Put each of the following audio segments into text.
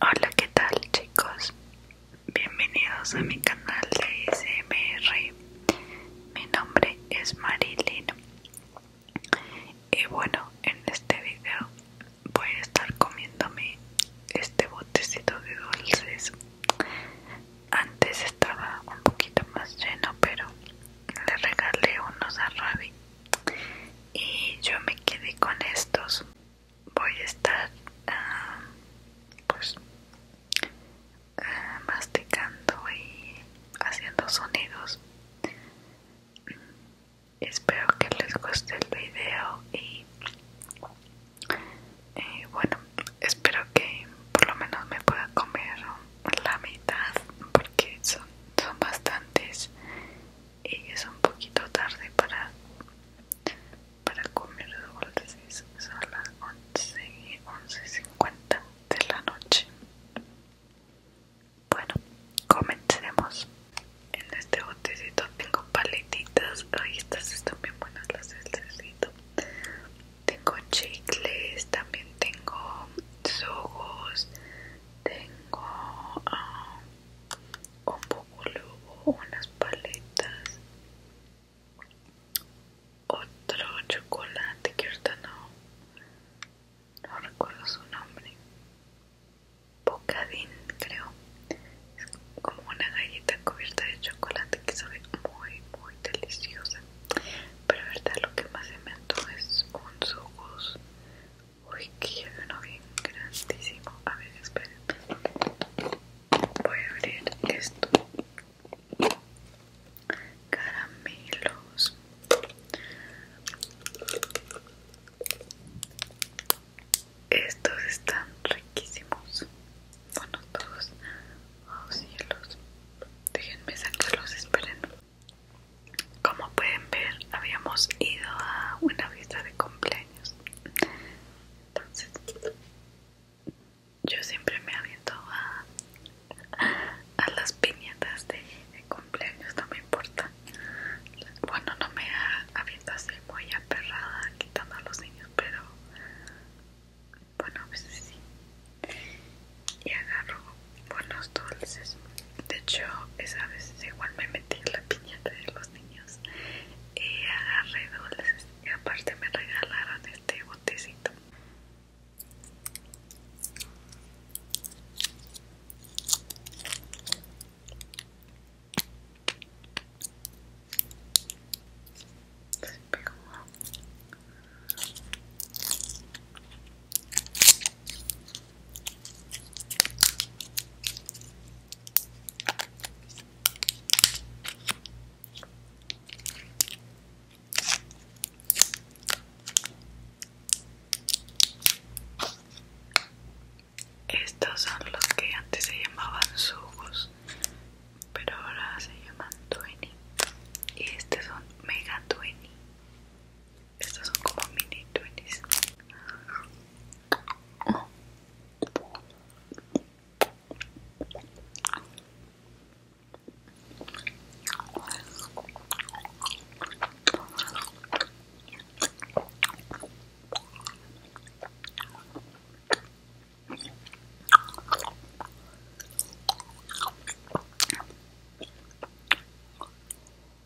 Hola, ¿qué tal chicos? Bienvenidos a mi canal de SMR. Mi nombre es Marilyn. Y bueno, en este video voy a estar comiéndome este botecito de dulces. Antes estaba un poquito más lleno, pero le regalé unos a Ravi. Y yo me quedé con estos voy a estar ah, pues ah, masticando y haciendo sonidos espero que les guste el video y, y bueno espero que por lo menos me pueda comer la mitad porque son, son bastantes y es un poquito tarde para, para comer dulces, son las 11 11.50 de la noche. Bueno, comencemos. En este botecito tengo paletitas, ahí estas están bien buenas las del Tengo chicles, también tengo sogos, tengo... Ah, un poco unas paletas otro chocolate que ahorita no recuerdo su nombre bocadín creo es como una galleta cubierta de chocolate que sabe muy muy deliciosa pero verdad lo que más se me antoja es un jugo. Uy, quiero uno bien grandísimo. A ver, esperen. Voy a abrir esto. Caramelos. Estos están riquísimos. Bueno, todos. Oh cielos. Déjenme sacarlos, esperen. Como pueden ver, habíamos ido a una fiesta de cumpleaños. Entonces, yo siempre me aviento a, a las piñatas de, cumpleaños, no me importa. Bueno, no me aviento así muy aperrada quitando a los niños, pero bueno, a veces sí. Y agarro buenos dulces de hecho, esa vez igual me metí en la piñata de los niños y agarré dulces y aparte me regalaron este botecito. Estos son los que antes se llamaban sugos, pero ahora se llaman Twenty. Y estos son Mega Twenty. Estos son como mini twenties.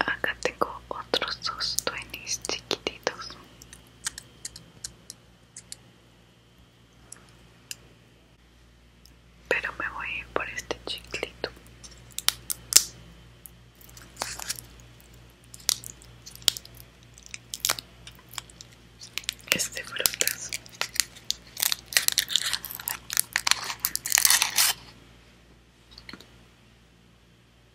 Acá tengo otros dos twinnies chiquititos. Pero me voy a ir por este chiclito. Este frutas.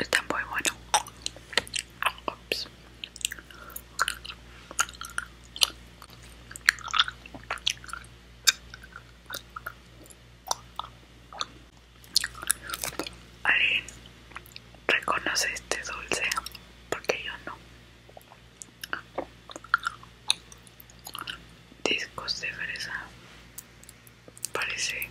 Está muy bueno. ¿Alguien reconoce este dulce? Porque yo no. Discos de fresa. Parece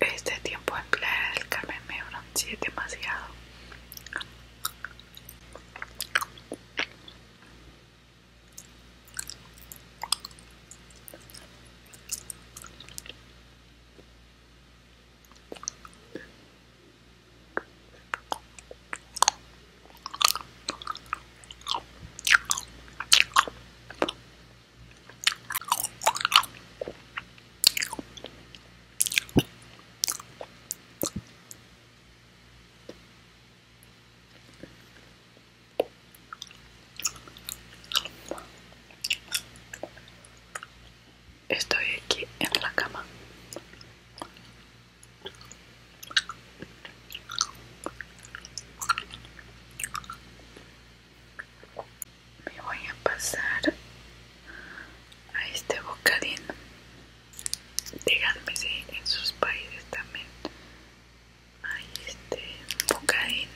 Este tiempo en Playa del Carmen me demasiado. Estoy aquí en la cama me voy a pasar a este bocadín díganme si en sus países también hay este bocadín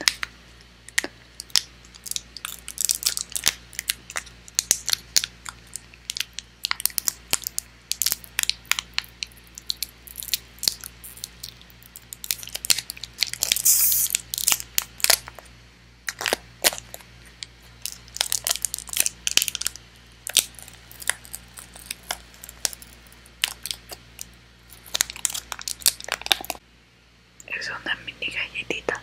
es una mini galletita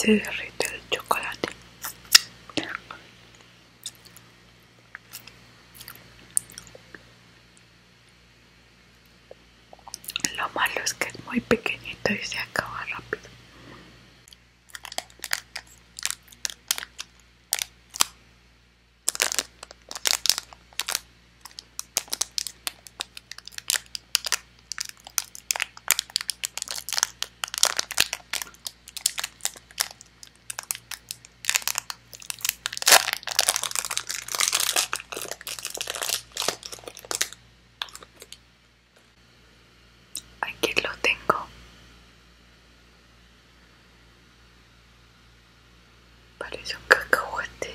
Se derrite el chocolate. Lo malo es que es muy pequeñito y se acaba rápido. Aquí lo tengo. Parece un cacahuete.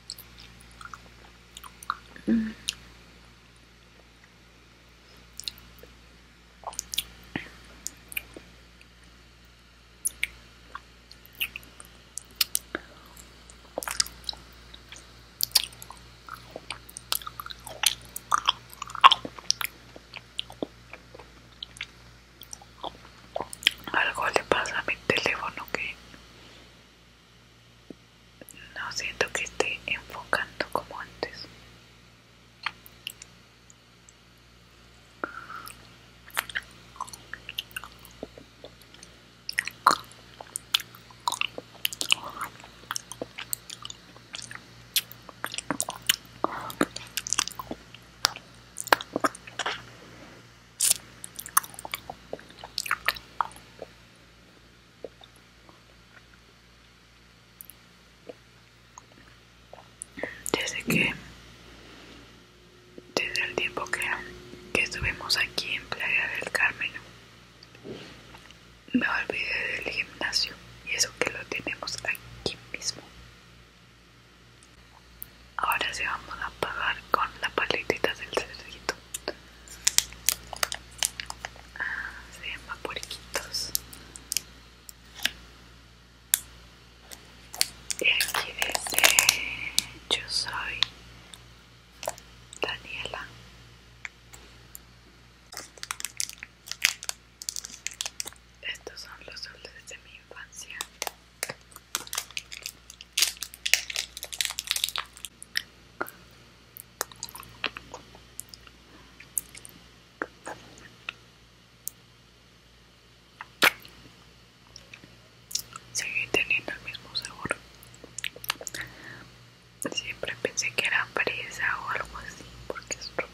Algo le pasa a mi teléfono que no siento que esté enfocando como antes desde que, desde el tiempo que, que estuvimos aquí en Playa del Carmen, me olvidé del gimnasio y eso que lo tenemos aquí mismo. Ahora se vamos a apagar con la paletita del cerdito. Ah, se llama puerquitos. Y aquí dice, yo soy Daniela. Estos son los dulces de mi infancia. Sigue teniendo el mismo sabor. Siempre pensé que era fresa o algo así, porque es rosa.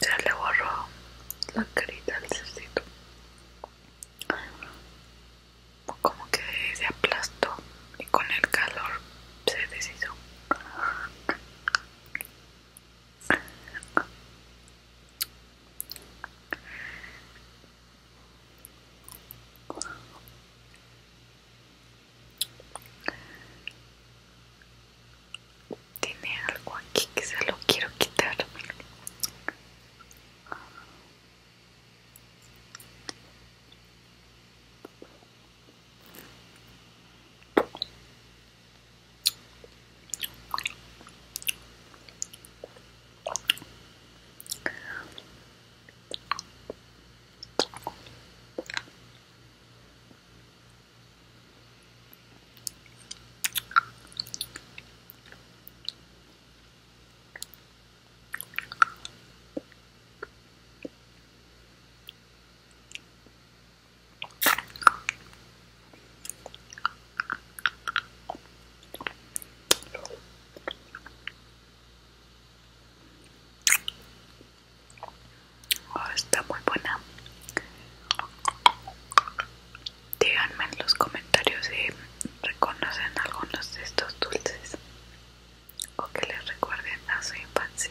se le borró la carita al cerdito como que se aplastó y con el calor se deshizo tiene algo aquí que se lo quiero quitar. Oh, está muy buena díganme en los comentarios si reconocen algunos de estos dulces o que les recuerden a su infancia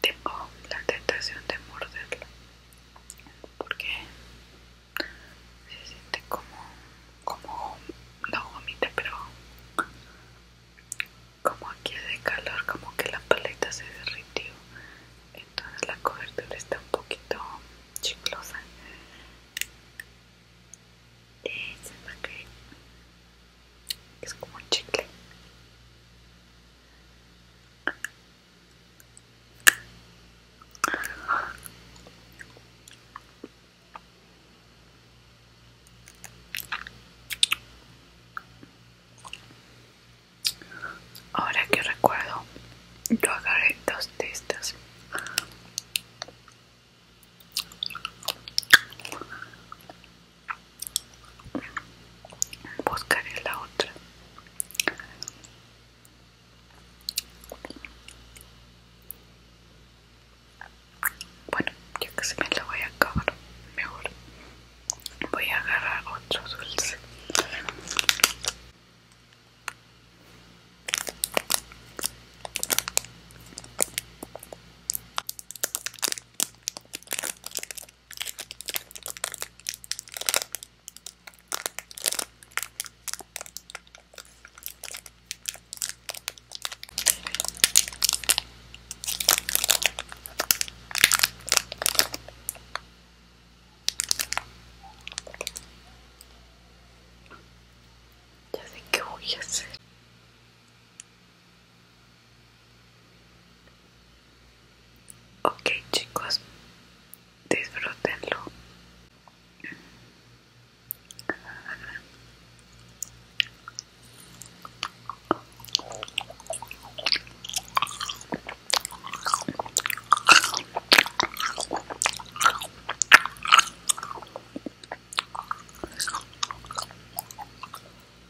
tengo la tentación de morderlo porque se siente como como no vomita pero como aquí de calor como que la paleta se derritió entonces la cobertura está un poquito chiclosa es, es como un chicle Ahora que recuerdo, yo agarré dos de buscaré la otra bueno ya se me la voy a acabar mejor voy a agarrar otro dulce ya sé qué voy a hacer. Ok chicos, disfrútenlo.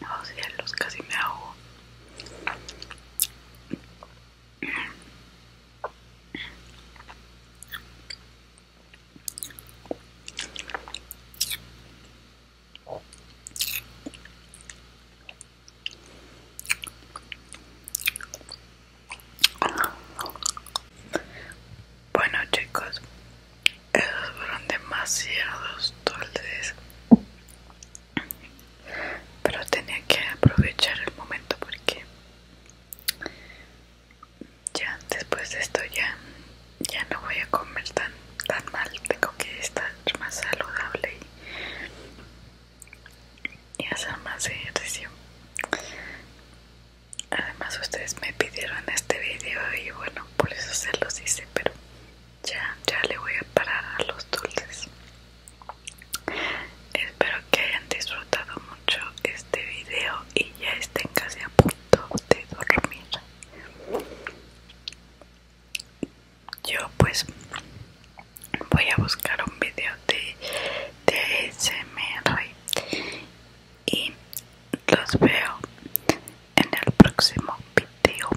Oh los casi me ahogo. Bueno chicos, esos fueron demasiados dulces, pero tenía que aprovechar el momento porque ya después de esto ya ya no voy a comer tan, tan mal, tengo que estar más saludable y, hacer más ejercicio. Además ustedes me pidieron este video y bueno, por eso se los hice, pero ya, ya le voy a parar a los dulces. Espero que hayan disfrutado mucho este video y ya estén casi a punto de dormir yo pues voy a buscar un video de, de SMR y los veo en el próximo video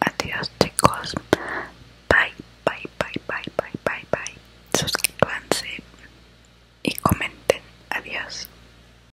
adiós chicos bye bye bye bye bye bye bye suscríbanse y comenten adiós